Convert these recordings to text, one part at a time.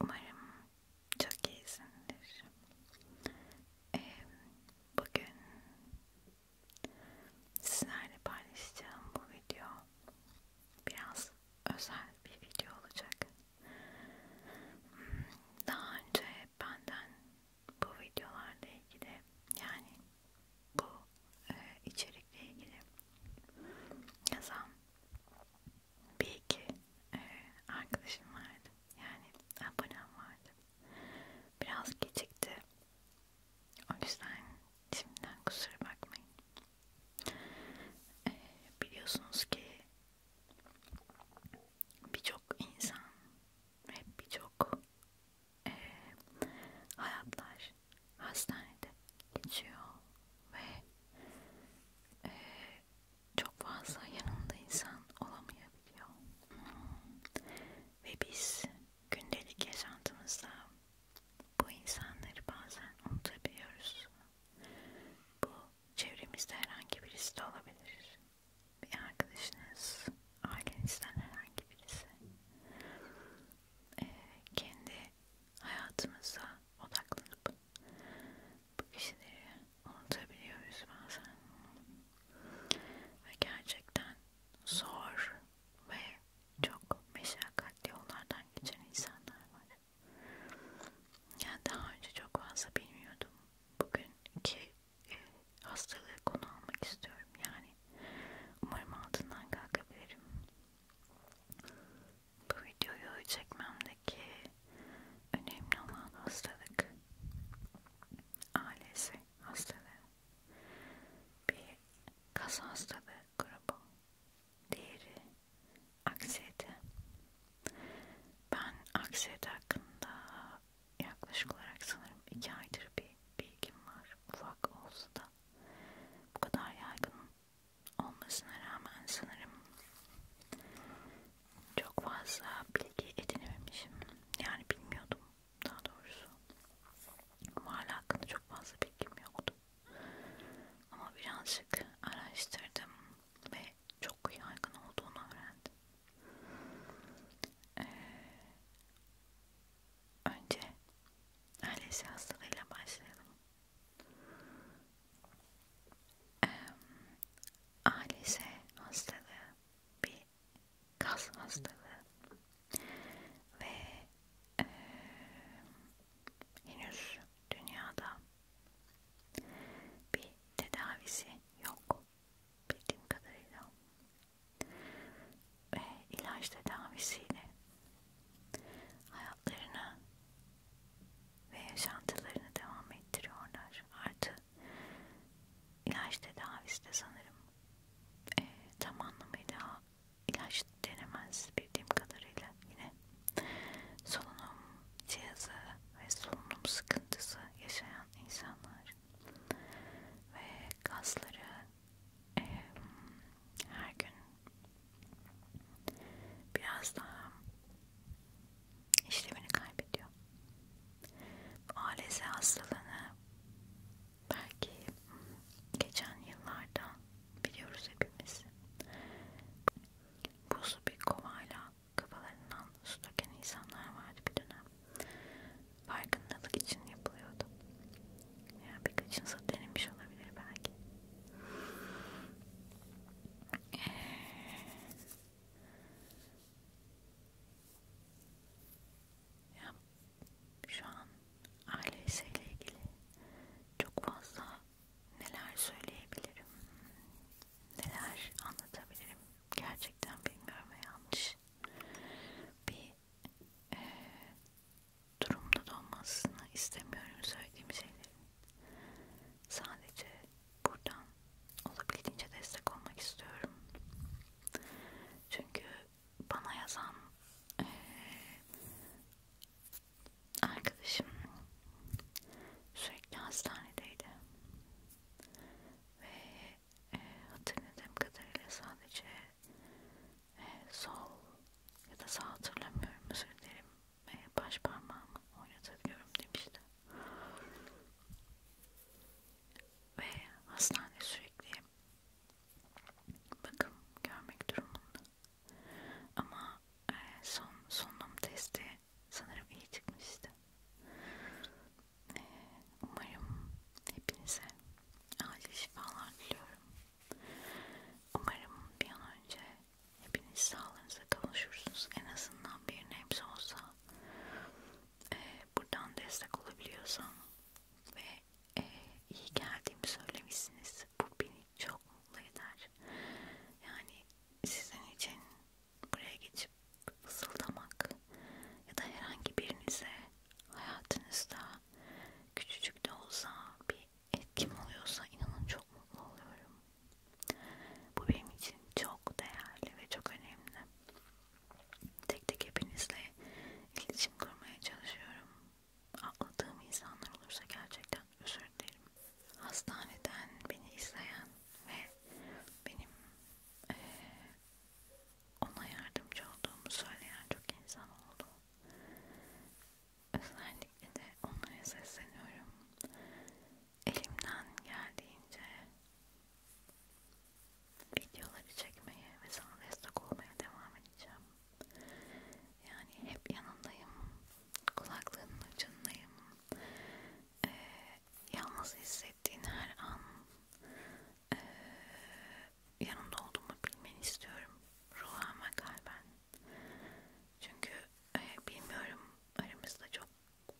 Umarım çok iyisindir. Ee, bugün sizlerle paylaşacağım bu video biraz özel bir video olacak. Daha önce benden bu videolarla ilgili yani bu e, içerikle ilgili yazan bir iki e, arkadaşım vardı. Yani abonem vardı. Biraz gecikti. O yüzden şimdiden kusura bakmayın. E, biliyorsunuz ki birçok insan ve birçok e, hayatlar hastanede geçiyor ve e, çok fazla yanında insan olamayabiliyor. Hmm. Ve biz gündelik yaşantımızda bu insanları bazen unutabiliyoruz. Bu çevremizde herhangi birisi de olabilir. Bir arkadaşınız, ailenizden herhangi birisi. E, kendi hayatımıza odaklanıp bu kişileri unutabiliyoruz bazen. Ve gerçekten zor ve çok meşakkatli yollardan geçen insanlar var. Yani daha önce çok fazla bilmiyordum. Bugünkü e, hastalığı konu almak istiyorum. Yani umarım altından kalkabilirim bu videoyu çekmemdeki önemli olan hastalık ailesi hastalığı bir kas hastalığı grubu diğeri aksiyete ben aksiyete hakkında yaklaşık olarak sanırım iki aydır bir bilgim var ufak olsa da bu kadar yaygın olmasına rağmen sanırım çok fazla bilgi edinememişim. Yani bilmiyordum daha doğrusu. Mahalle hakkında çok fazla bilgim yoktu. Ama birazcık araştırdım ve çok yaygın olduğunu öğrendim. Ee, önce ALS hastalığıyla başlayalım e, ALS hastalığı bir kas hastalığı ve e, henüz dünyada bir tedavisi yok bildiğim kadarıyla ve ilaç tedavisiyle hayatlarını ve yaşantılarını devam ettiriyorlar. Artı ilaç tedavisi de sanırım e, tam anlamıyla ilaç denemez bildiğim kadarıyla yine solunum cihazı ve solunum sıkıntısı yaşayan insanlar ve kasları e, her gün biraz daha işlevini kaybediyor. ALS hastalığını belki geçen yıllarda biliyoruz hepimiz. Buzlu bir kovayla kafalarından su döken insanlar vardı bir dönem. Farkındalık için yapılıyordu. Yani birkaçınıza denemiş olabilir belki. Ee, ya şu an aile işiyle ilgili çok fazla neler söyleyebilirim, neler anlatabilirim gerçekten bilmiyorum ve yanlış bir e, durumda da olmasını istemiyorum söylediğim şeylerin. Sadece buradan olabildiğince destek olmak istiyorum. Çünkü bana yazan e, arkadaşım sürekli hastanedeydi ve e, hatırladığım kadarıyla sadece ve sol ya da sağ hatırlamıyorum özür dilerim ve baş parmağımı oynatabiliyorum demişti. Ve hastane sürekli bakım görmek durumunda. Ama e, son solunum testi sanırım iyi çıkmıştı. E, umarım hepinize acil şifalar diliyorum. Umarım bir an önce hepiniz sağlığınıza kavuşursunuz. En azından bir nebze olsa e, buradan destek olabiliyorsam ve e, iyi geldiğimi söylemişsiniz. Bu beni çok mutlu eder. Yani sizin için buraya geçip fısıldamak ya da herhangi birinize hayatınızda küçücük de olsa bir etkim oluyorsa inanın çok mutlu oluyorum. Bu benim için çok değerli ve çok önemli. Tek tek hepinizle iletişim kurmaya çalışıyorum. Atladığım insanlar olursa gerçekten özür dilerim. Hastaneden beni izleyen ve benim e, ona yardımcı olduğumu söyleyen çok insan oldu. Özellikle de onlara sesleniyorum. Elimden geldiğince videoları çekmeye ve sana destek olmaya devam edeceğim. Yani hep yanındayım, kulaklığının ucundayım. Ee, yalnız hissettiğin her an e, yanında olduğumu bilmeni istiyorum ruhama kalben çünkü e, bilmiyorum aramızda çok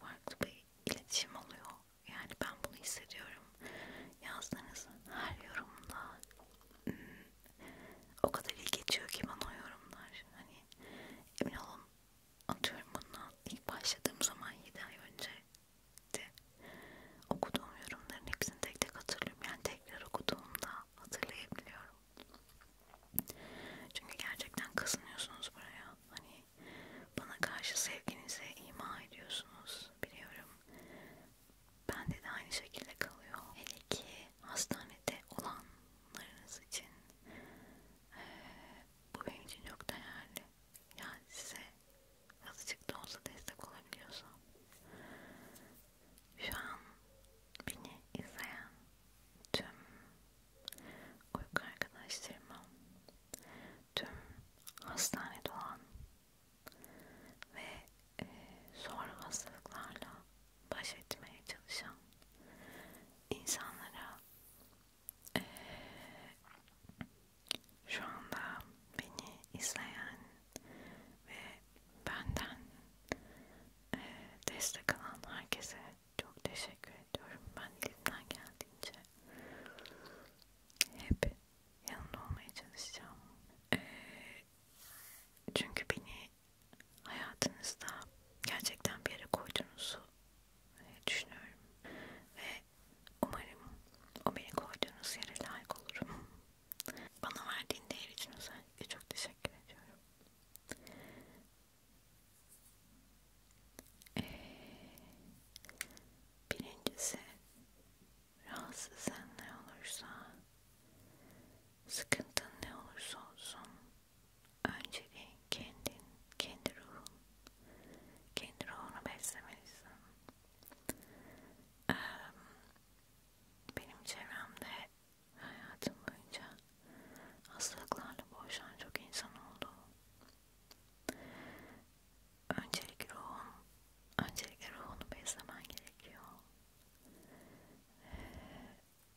farklı bir iletişim oluyor yani ben bunu hissediyorum yazdığınız her yorumda hmm, o kadar iyi geçiyor ki bana o yorumlar hani emin olun atıyorum bundan ilk başladığım zaman 7 ay önce Okuduğum yorumların hepsini tek tek hatırlıyorum. Yani tekrar okuduğumda hatırlayabiliyorum. Çünkü gerçekten kazanıyorsunuz buraya. Hani bana karşı sevginize ima ediyorsunuz biliyorum. Bende de aynı şekilde kalıyor. Hele ki hastanede olanlarınız için ee, bu benim için çok değerli. Yani size azıcık da olsa destek olabiliyorsan şu an beni izleyen tüm uyku arkadaşlarıma tüm hastanede olan ve e, zor hastalıklarla baş etmeye çalışan insanlara e, şu anda beni izleyen ve benden e, destek alan herkese çok teşekkür ediyorum. Ben elimden geldiğince hep yanında olmaya çalışacağım. E, çünkü beni hayatınızda gerçekten bir yere koyduğunuzu e, düşünüyorum ve umarım o beni koyduğunuz yere layık olurum. Bana verdiğin değer için özellikle çok teşekkür ediyorum. Ee, birincisi rahatsızın ne olursa sıkıntın ne olursa olsun önceliğin kendin, kendi ruhun kendi ruhunu beslemelisin. Ee, benim çevremde hayatım boyunca hastalıklarla boğuşan çok insan oldu. Öncelikle ruhun, öncelikle ruhunu beslemen gerekiyor. Ee,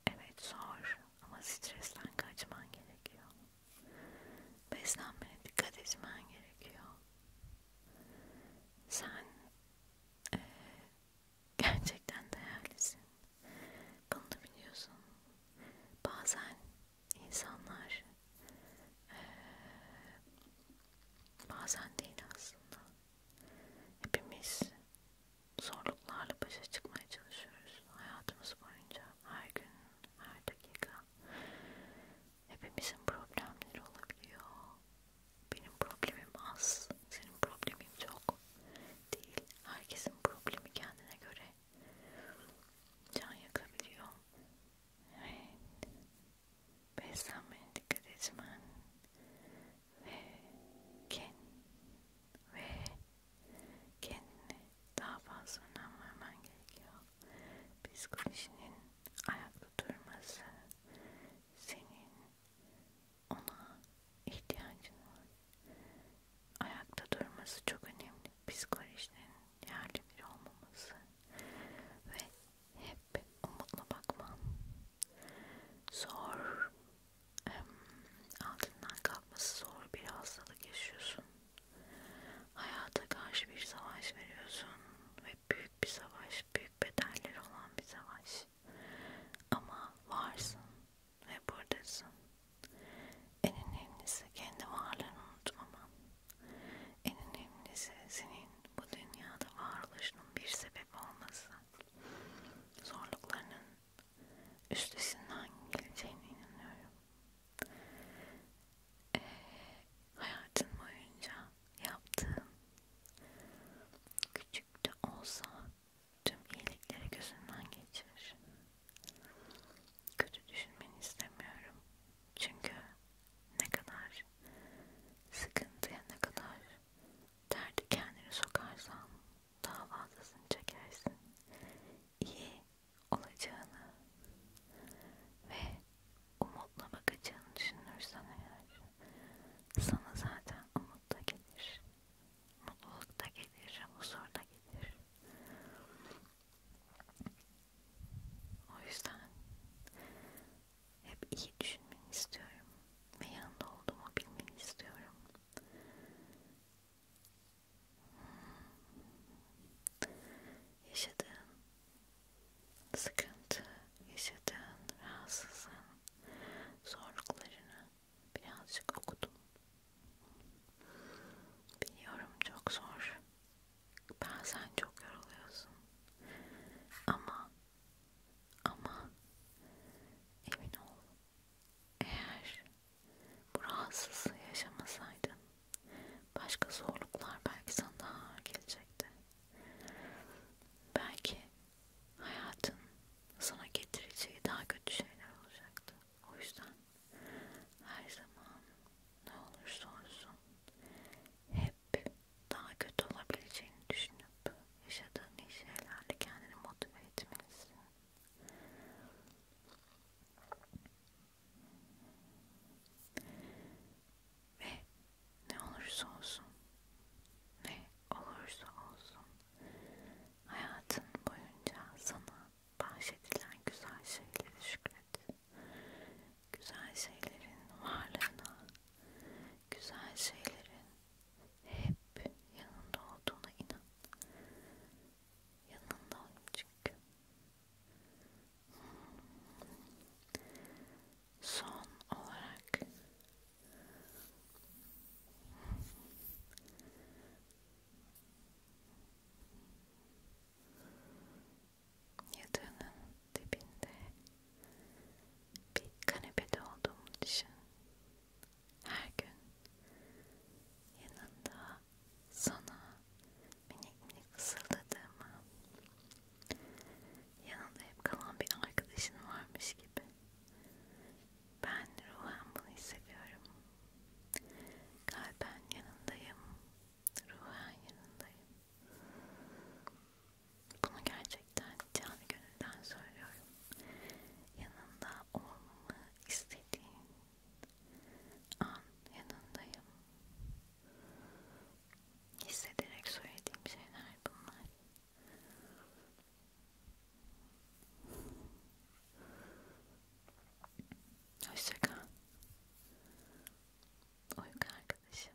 evet zor ama stresten kaçman gerekiyor. Beslenmene dikkat etmen gerekiyor. Sen e, gerçekten değerlisin. Bunu da biliyorsun. Bazen insanlar e, bazen değil aslında. Hepimiz zorluklarla başa çıkmaya çalışıyoruz hayatımız boyunca her gün, her dakika hepimizin problemleri olabiliyor. Benim problemim az, senin problemin çok değil. Herkesin problemi kendine göre can yakabiliyor. Evet. Beslenmeye dikkat etmen ve ken ve kendine daha fazla önem vermen gerekiyor. Psikolojinin ayakta durması senin ona ihtiyacın var. Ayakta durması çok önemli. Psikolojinin yerli bir olmaması ve hep umutla bakman zor altından kalkması zor bir hastalık yaşıyorsun Hayata karşı bir savaş veriyorsun ve büyük bir savaş, büyük bedeller olan bir savaş. Ama varsın ve buradasın. En önemlisi kendi varlığını unutmaman. En önemlisi senin bu dünyada varoluşunun bir sebep olması. Zorluklarının üstesinden geleceğine inanıyorum e, ee, hayatım boyunca yaptığım küçük de olsa tüm iyilikleri gözümden geçirir. Kötü düşünmeni istemiyorum. Çünkü ne kadar sıkıntıya ne kadar derdi kendini sokarsan daha fazlasını çekersin. İyi olacağını ve umutla bakacağını düşünürsen eğer sana zaten umut da gelir, mutluluk da gelir, huzur da gelir. O yüzden hep iyi düşünmeni istiyorum ve yanında olduğumu bilmeni istiyorum yaşadığın sıkıntı, yaşadığın rahatsızlığın zorluklarını birazcık okudum. Biliyorum çok zor. Bazen çok yoruluyorsun. Ama ama emin ol eğer bu rahatsızlığı yaşamasaydın başka zorluklar belki sana daha ağır gelecekti. Belki hayatın sana getireceği daha kötü şeyler olacaktı. O yüzden her zaman ne olursa olsun hep daha kötü olabileceğini düşünüp yaşadığın iyi şeylerle kendini motive etmelisin. Ve ne olursa olsun, ne olursa olsun hayatın boyunca sana bahşedilen güzel şeylere şükret. Güzel şeylerin varlığına, güzel şeylerin hep yanında olduğuna inan yanındayım çünkü. Son olarak yatağının dibinde bir kanepede olduğumu düşün her gün yanında sana minik minik fısıldadığımı yanında hep kalan bir arkadaşın varmış gibi ben ruhen bunu hissediyorum kalben yanındayım ruhen yanındayım bunu gerçekten canı gönülden söylüyorum yanında olmamı istediğin an yanındayım. Hissederek söylediğim şeyler bunlar. Hoşça kal. Uyku arkadaşım.